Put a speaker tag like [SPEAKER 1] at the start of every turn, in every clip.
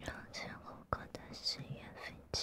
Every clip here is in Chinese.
[SPEAKER 1] 让残酷的深渊分腾。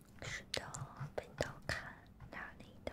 [SPEAKER 2] 是的，本刀砍哪里的？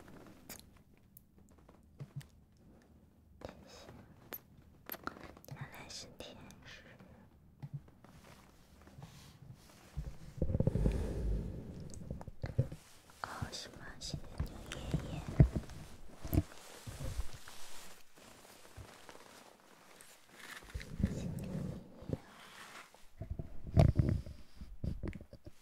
[SPEAKER 3] 原来是天使。哦，是吗？谢谢牛爷爷。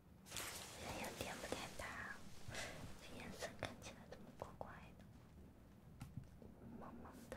[SPEAKER 3] 人有点不简单，这颜色看起来怎么怪怪的？萌萌的。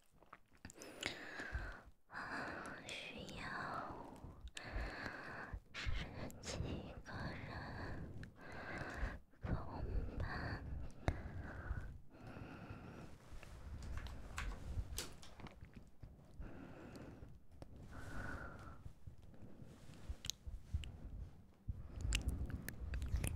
[SPEAKER 3] 我需要几个人同伴。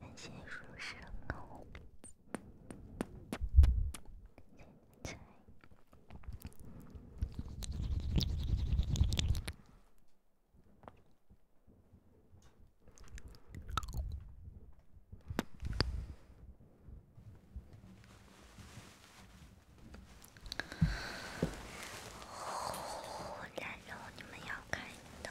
[SPEAKER 3] 感谢书生哦。然后你们要看的。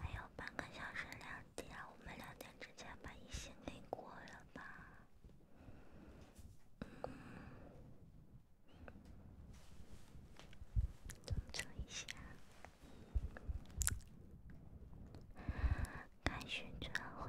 [SPEAKER 4] 还有半个小时两点，我们两点之前把一线给过了吧。操作一下，开旋转或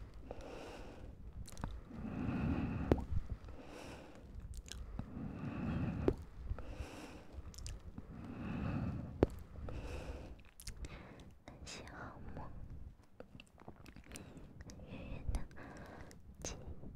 [SPEAKER 4] 感谢好梦，圆圆的几个风景。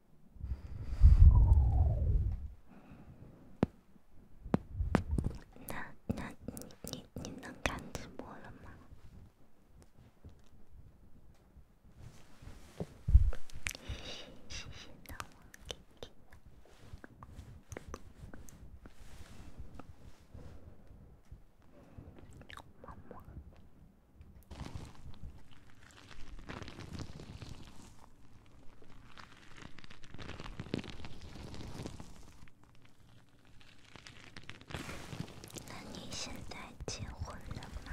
[SPEAKER 4] 那那你你你能看直播了吗？谢谢谢谢，大王给的么么。那你现在结婚了吗？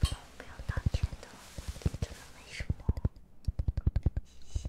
[SPEAKER 4] 不要道歉的，真的没什么的，谢谢。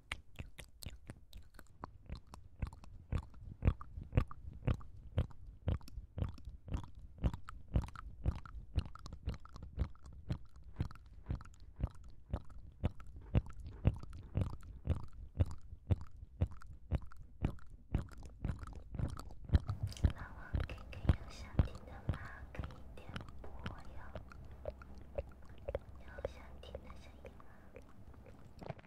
[SPEAKER 4] 妈妈，哥哥有想听的吗？可以点播呀。有想听的声音吗？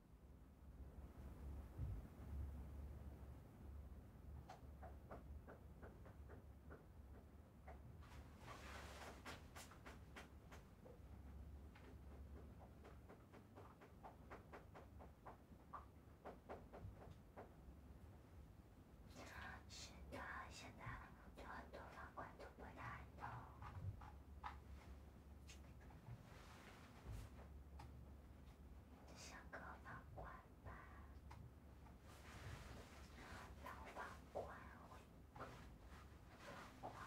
[SPEAKER 4] 是的，现在就很多房管都不太懂。像个房管吧，老房管会，老房管。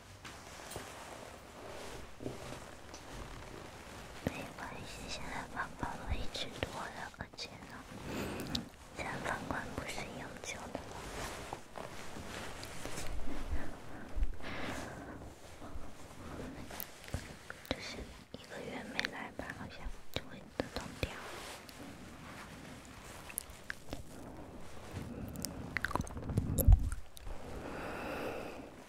[SPEAKER 5] 没关系，现在爸爸我一直躲着，而且呢，现在方官不是永久的，就是一个月没来吧，好像就会自动掉。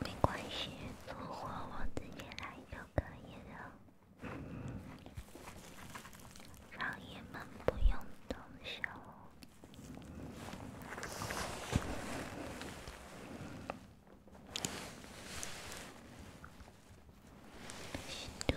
[SPEAKER 6] 没关系，生活我自己来着。可以让老爷们不用动手，心动。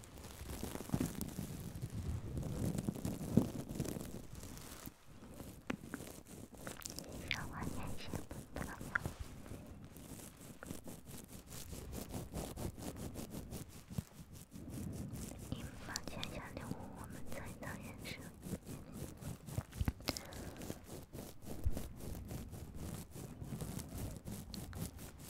[SPEAKER 6] 人生万千事物，我们才能